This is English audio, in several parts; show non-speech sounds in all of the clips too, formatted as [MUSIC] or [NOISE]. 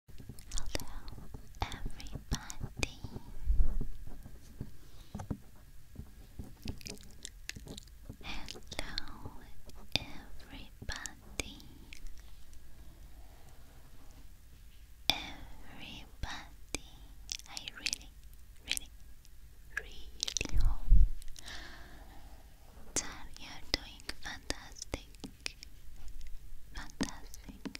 Hello, everybody. Hello, everybody. Everybody, I really, really, really hope that you're doing fantastic fantastic.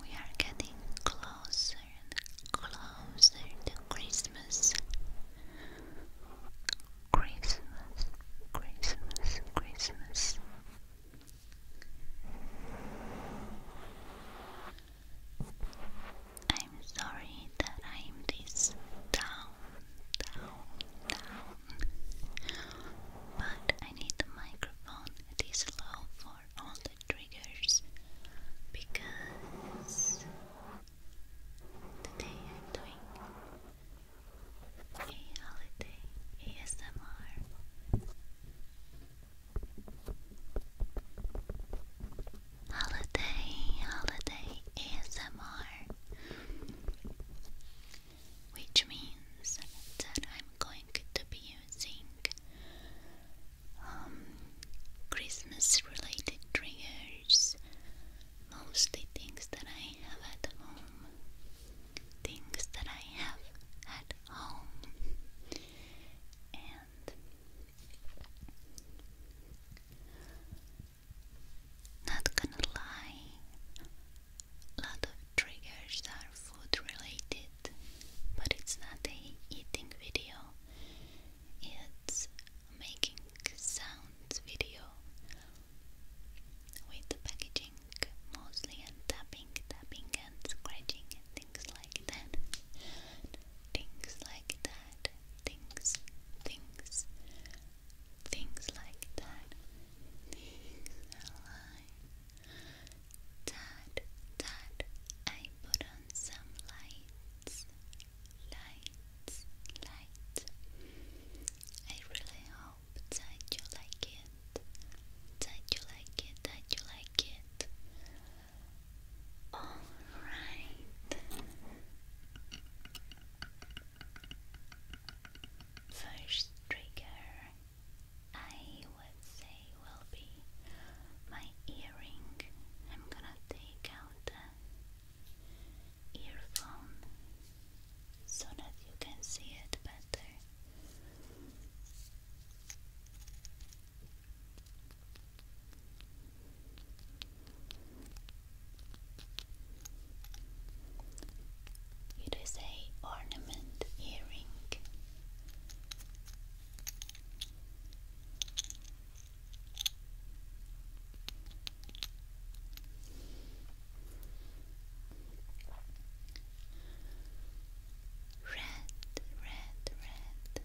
We are getting closer and closer to Christmas. Christmas, Christmas, Christmas. I'm sorry that I'm this down down, down. But I need the microphone that is low for all the triggers because today I'm doing a holiday ASMR. Holiday, holiday ASMR, which means that I'm going to be using um, Christmas related triggers, mostly things that I have at home, things that I have at home, and not gonna lie, a lot of triggers are food related, but it's not a eating video, it's making sounds video with the packaging mostly and tapping, tapping and scratching and things like that. Things like that things, things, things like that, things alive. Dad, I put on some lights, lights, lights. I really hope that you like it, that you like it, that you like it. All right. First trigger I would say will be my earring. I'm gonna take out the earphone so that you can see it better. It is a ornament earring. Red, red, red.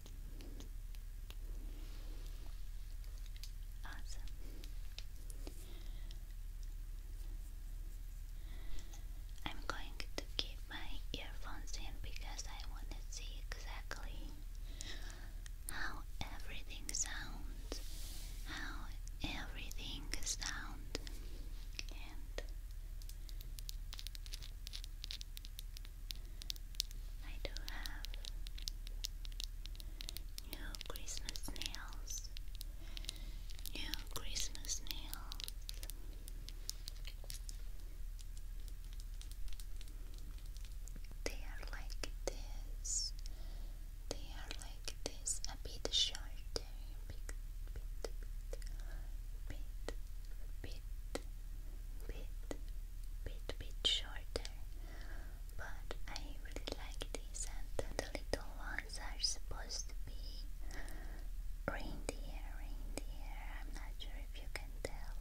Awesome. I'm going to keep my earphones in because I want to see exactly how everything sounds, how everything sounds, I do have new Christmas nails, new Christmas nails. They are like this. They are like this, a bit shorter, bit, bit, bit, bit, bit, bit, bit, bit shorter, but I really like these, and the little ones are supposed to be reindeer, reindeer. I'm not sure if you can tell.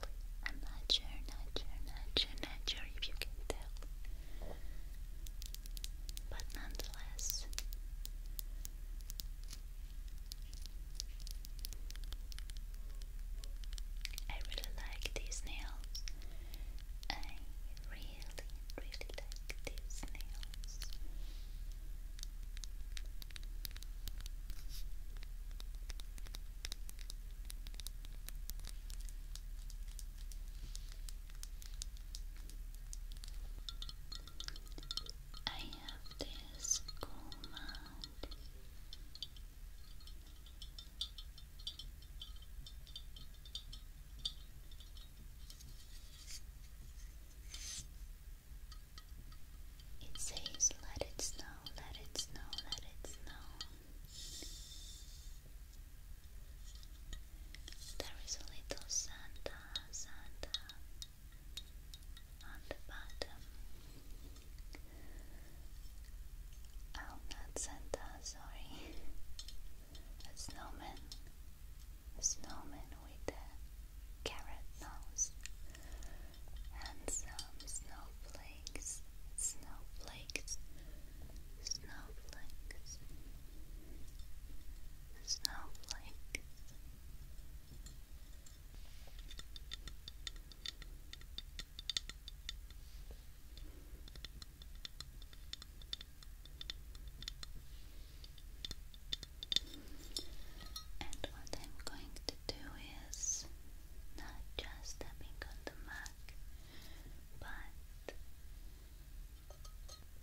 I'm not sure, not sure, not sure, not sure if you can tell. But nonetheless, I really like these nails. I really, really like these nails. I have this cool it says, let it snow, let it snow, let it snow. There is a little Santa, Santa on the bottom. Oh, sorry. A snowman. snowman with a carrot nose. And some snowflakes. Snowflakes. Snowflakes. Snowflake. And what I'm going to do is not just tapping on the mug, but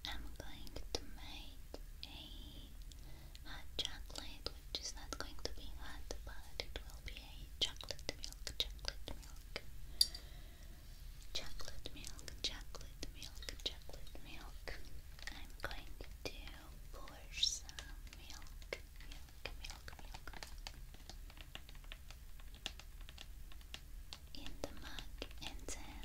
I'm going to make a hot chocolate, which is not going to be hot, but it will be a chocolate milk, chocolate milk, chocolate milk, chocolate milk, chocolate milk. I'm going to pour some milk, milk, milk, milk in the mug and then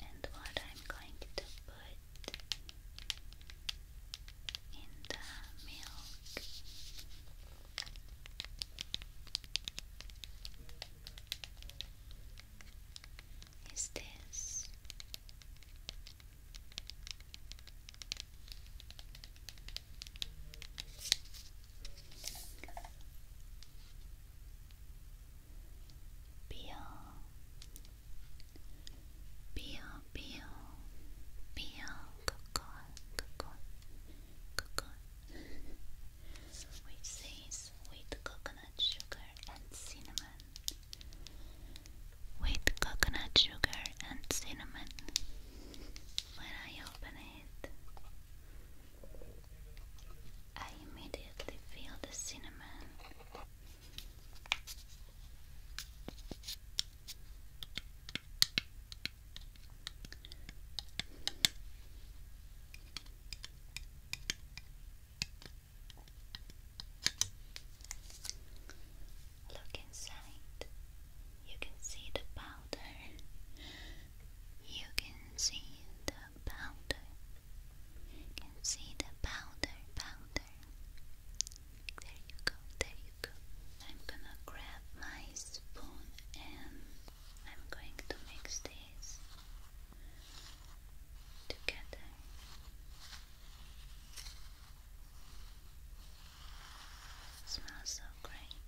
And what I'm going to put in the milk. Is this Peel, peel, peel, peel, cocoon, cocoon, cocoon, which says with coconut sugar and cinnamon with coconut sugar and cinnamon. When I open it, I immediately feel the cinnamon. Look inside. You can see the powder. You can see the powder. You can see the powder, powder. There you go, there you go. I'm gonna grab my spoon and I'm going to mix this together smells so great. [LAUGHS]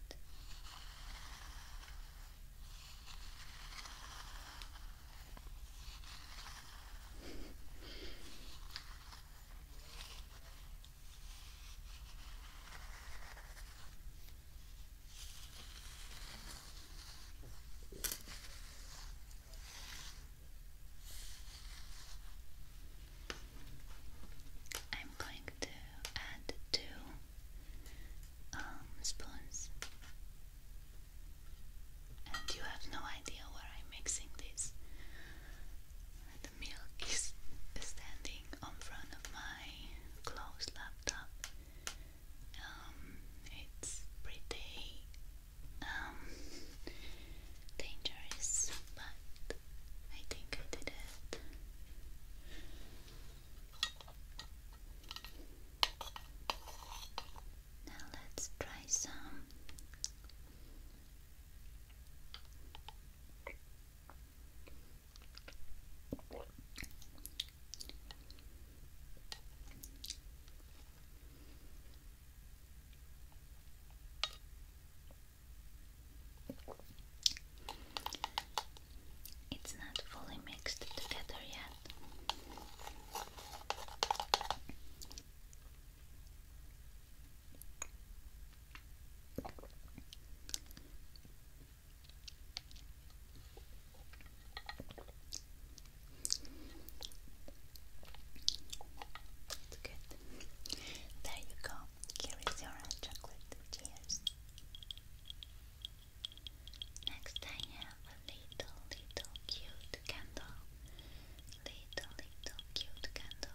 I'm going to add two um, spoons, and you have no idea where I'm mixing this. The milk is standing on front of my closed laptop. Um, it's pretty um, dangerous, but I think I did it. Now let's try some. It's not fully mixed together yet. It's good. There you go. Here is your chocolate. Cheers. Next, I have a little, little cute candle. Little, little cute candle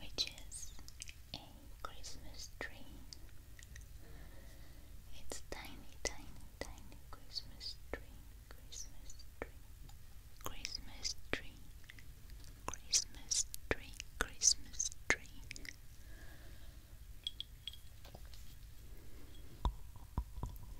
which is a Christmas tree. It's tiny, tiny, tiny Christmas tree, Christmas tree, Christmas tree, Christmas tree, Christmas tree.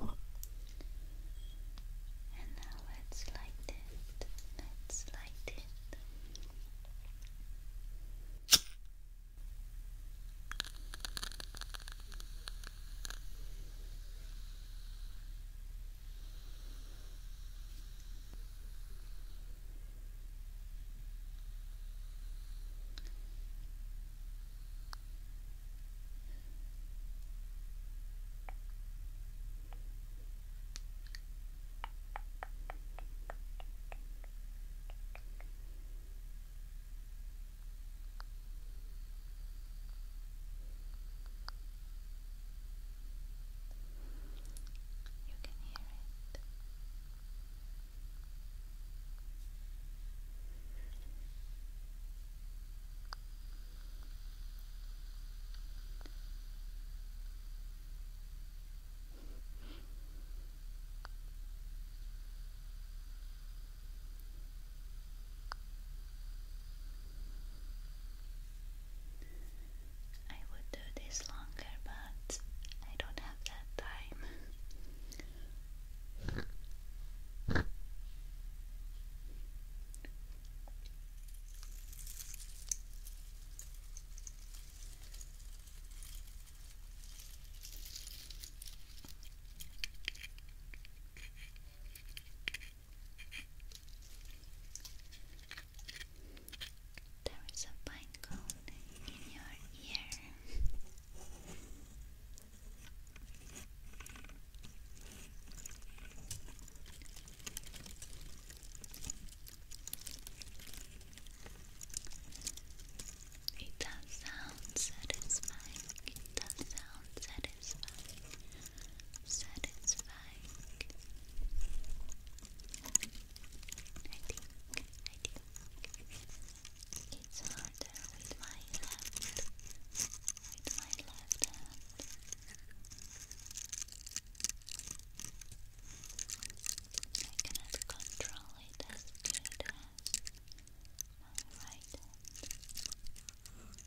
And now let's light it. Let's light it. You can hear it. I would do this longer, but I don't have that time. There is a pine in your ear. It does sound satisfying. It does sound satisfying. Satisfying. I think. I think. It's harder with my left, with my left hand. I cannot control it as good as my right But I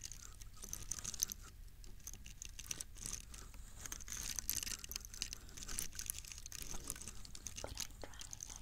try,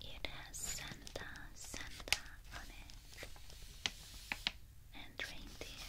It has Santa, Santa on it, and reindeer.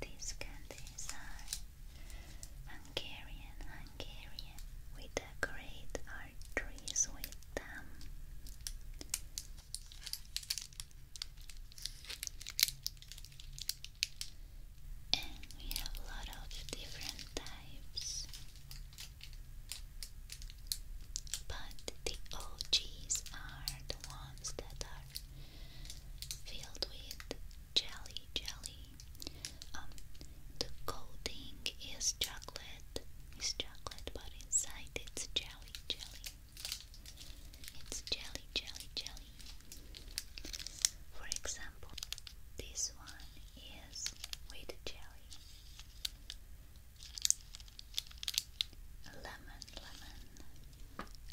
These candies are Hungarian, Hungarian. We decorate our trees with them and we have a lot of different types. But the OGs are the ones that are filled with jelly, jelly. Um, the coating is chocolate, is chocolate, but inside it's jelly, jelly. It's jelly, jelly, jelly. For example, this one is with jelly, lemon, lemon,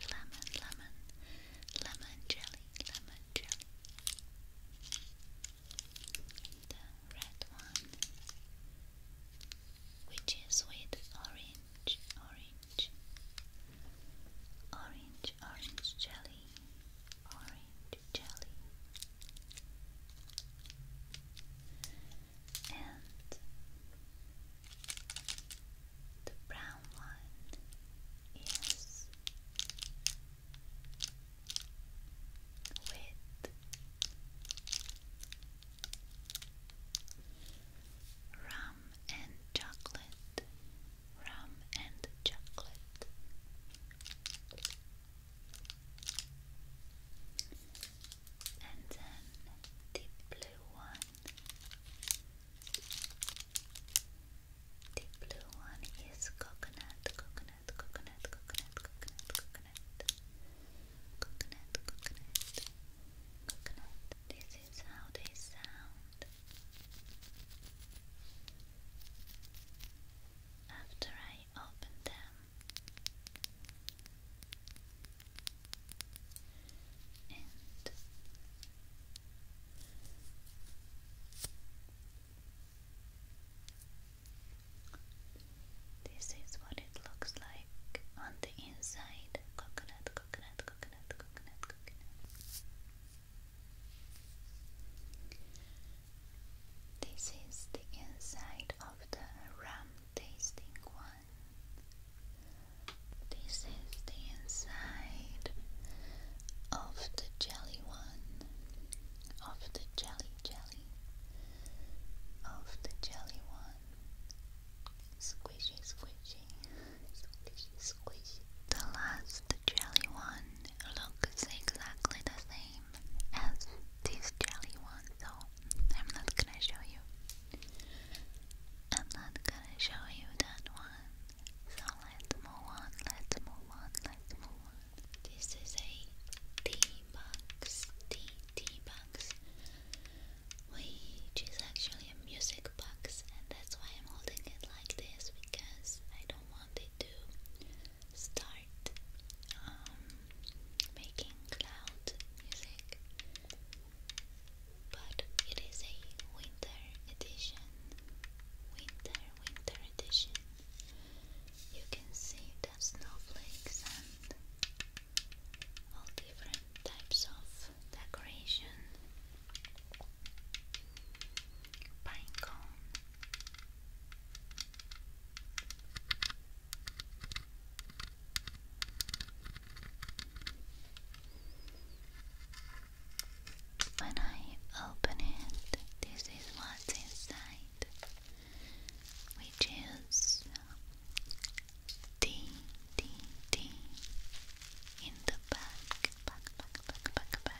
lemon, lemon, lemon jelly, lemon jelly. The red one, which is with orange, orange orange, orange, jelly, orange jelly, and the brown one is with rum and chocolate, rum and chocolate. And then the blue one. The blue one is coconut, coconut, coconut, coconut, coconut, coconut, coconut, coconut, coconut. This is how they sound. After I open them, and this is what it looks like on the inside. This is the inside of the rum tasting one. This is the inside of the jelly one, of the jelly jelly, of the jelly one. Squishy, squishy, the last jelly one looks exactly the same as this jelly one, so I'm not gonna show you. I'm not gonna show you that one. let's move on, let's move on, let's move on. This is a T box, tea, tea box which actually a music box, and that's why I'm holding it like this because I don't want it to start um, making loud music. But it is a winter edition, winter, winter edition. You can see the snowflakes and all different types of decoration, pine cone. When I open it, this is what's inside, which is ding, ding, ding in the back, back, back, back, back, back.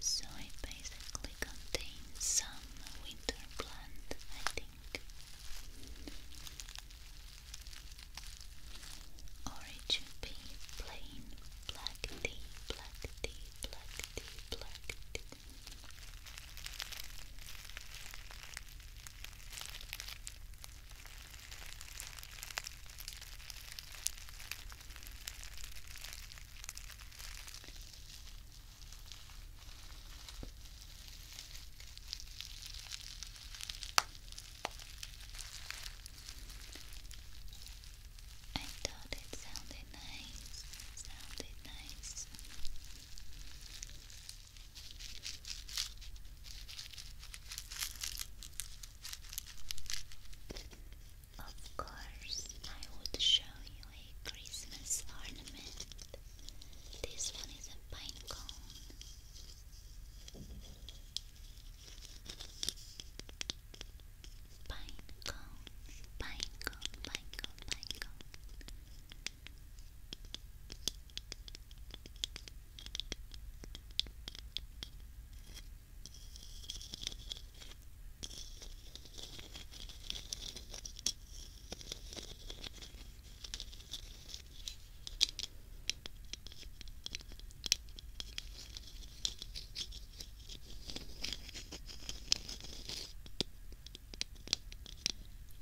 So it basically contains some winter plant, I think. Or it plain black tea, black tea, black tea, black tea. I thought it sounded nice, sounded nice. Of course, I would show you a Christmas ornament. This one is a pine cone. Pine cone, pine pine cone.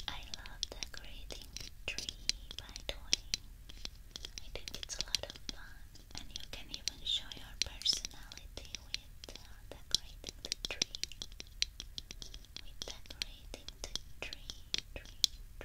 I love decorating a tree by toying. I think it's a lot of fun and you can even show your personality with uh, decorating the tree. With decorating the tree, tree, tree.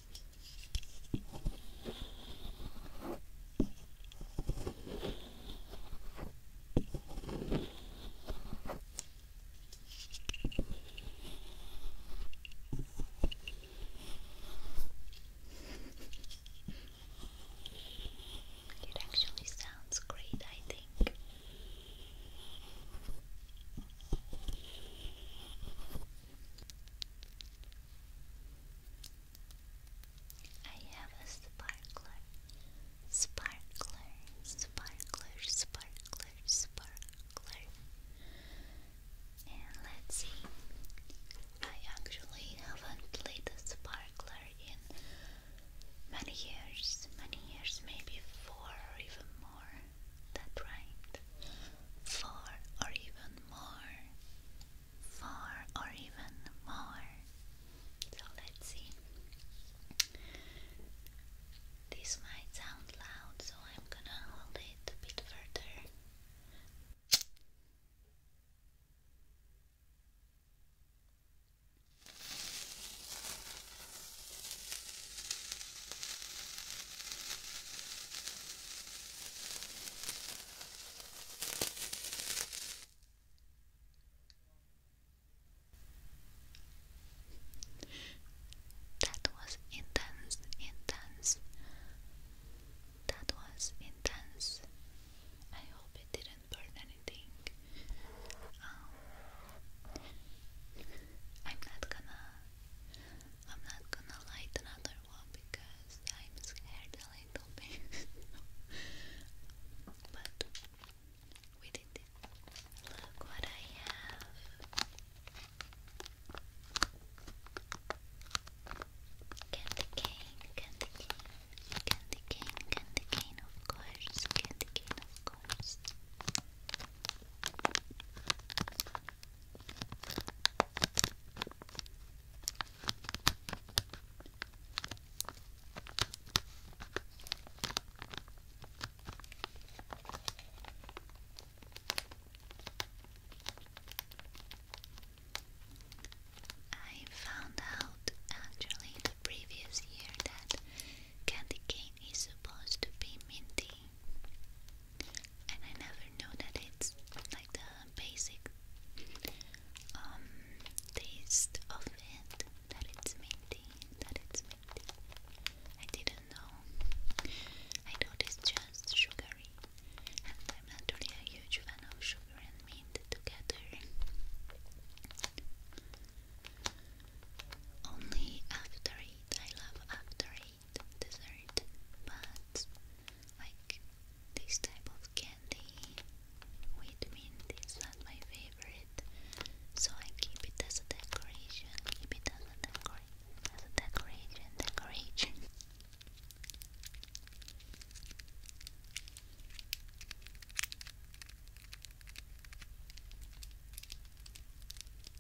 It actually sounds great, I think. I have a sparkler, sparkler, sparkler, sparkler, sparkler. And let's see, I actually haven't played the sparkler in many years, many years, maybe four or even more that rhymed. Four or even more. Four or even more. So let's see. This might sound loud, so I'm gonna hold it a bit further. That was intense, intense. That was intense. I hope it didn't burn anything. Um, I'm not gonna I'm not gonna light another one because I'm scared a little bit. [LAUGHS] but we it. Look what I have. Candy cane, candy cane, candy cane, candy cane, of course, candy cane, of course. I found out actually the previous year that candy cane is supposed to be minty and I never know that it's like the basic um, taste of it that it's minty, that it's minty. I didn't know. I thought it's just sugary, and I'm not a huge fan of sugar and mint together. Only after eight. I love after it dessert, but like this type of candy with mint is not my favorite. So I keep it as a decoration. Keep it as a decoration. As a decoration. Decoration.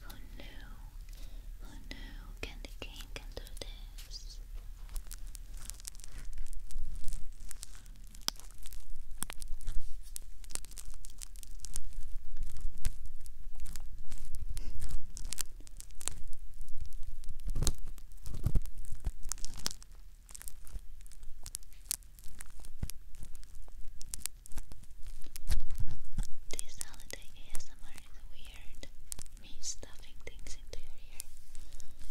Who knew? Who knew? Can the king can do this? This holiday ASMR and weird. Me stuffing things into your ear.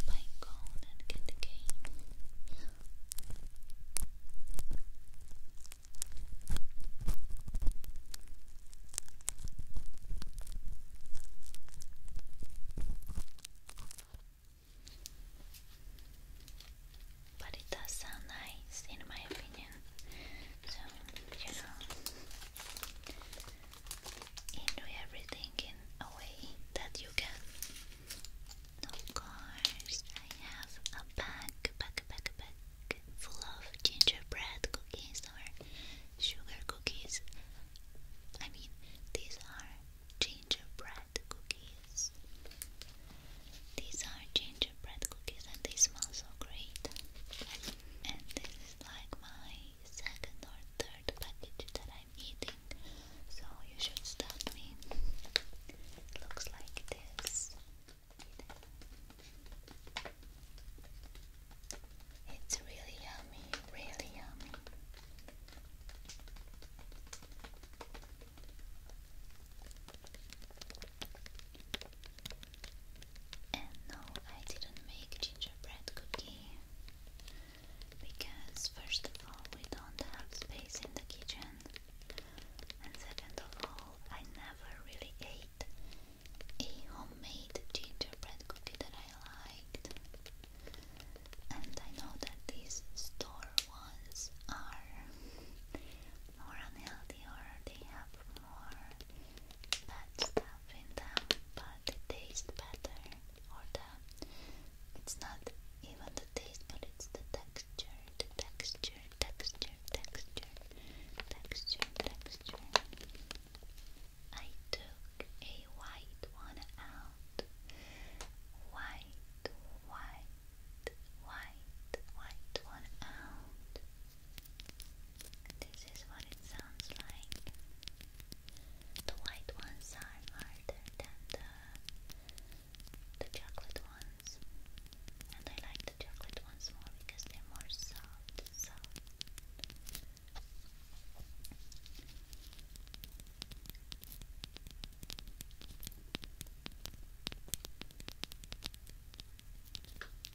Playing cone and candy cane. But it does sound nice, in my opinion. So, you know, you everything in a way that you can. Of course, I have a bag, bag, bag, bag full of gingerbread cookies or sugar cookies. I mean, these are gingerbread cookies. These are gingerbread gingerbread cookies and they smell so great. And this is like my second or third package that I'm eating, so you should stop me. looks like this. It's really yummy, really yummy. And no, I didn't make gingerbread cookie because, first of all, we don't have space in the kitchen, and second of all, I never really ate a homemade gingerbread cookie that I liked. And I know that these store ones are more unhealthy or they have more bad stuff in them, but they taste better or the it's not even the taste but it's the texture, the texture, texture, texture, texture, texture. I took a white one out. White, white, white, white one out. This is what it sounds like. The white ones are harder than the the chocolate ones, and I like the chocolate ones more because they're more soft.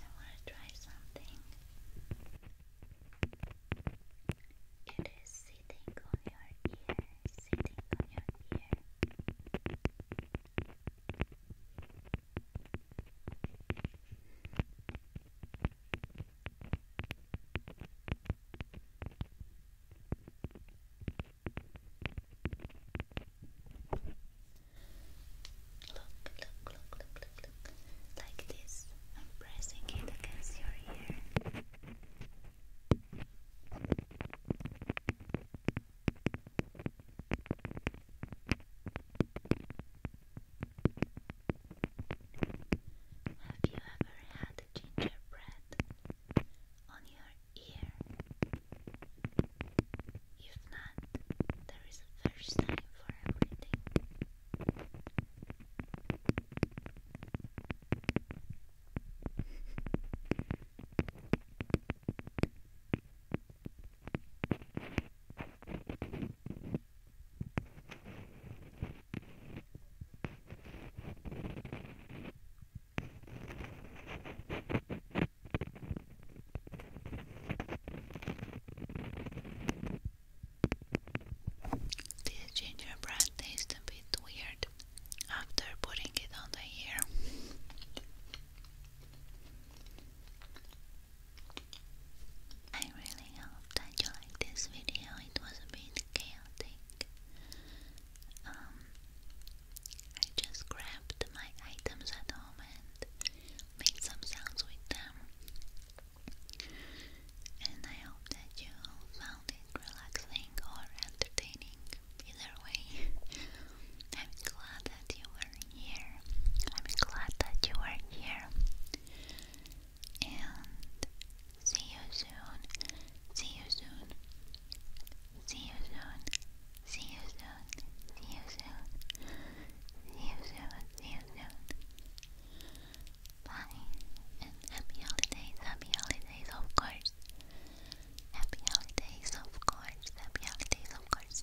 I want to try something. It is sitting on your ear, sitting on your ear look, look, look, look. Like this. I'm pressing it against your ear. Look, have you ever had gingerbread on your ear? If not, there is a first time for everything. This gingerbread tastes a bit weird after putting it on the ear. I really really hope that you like this video. It was a bit chaotic. Um, I just grabbed my items at home and made some sounds with them. And I hope that you found it relaxing or entertaining. Either way, [LAUGHS] I'm glad that you were here. I'm glad that you are here and see you soon. See you soon. See you soon. See you soon. See you soon. See you soon. See you soon. Bye. And happy holidays. Happy holidays, of course. Happy holidays, of course. Happy holidays, of course.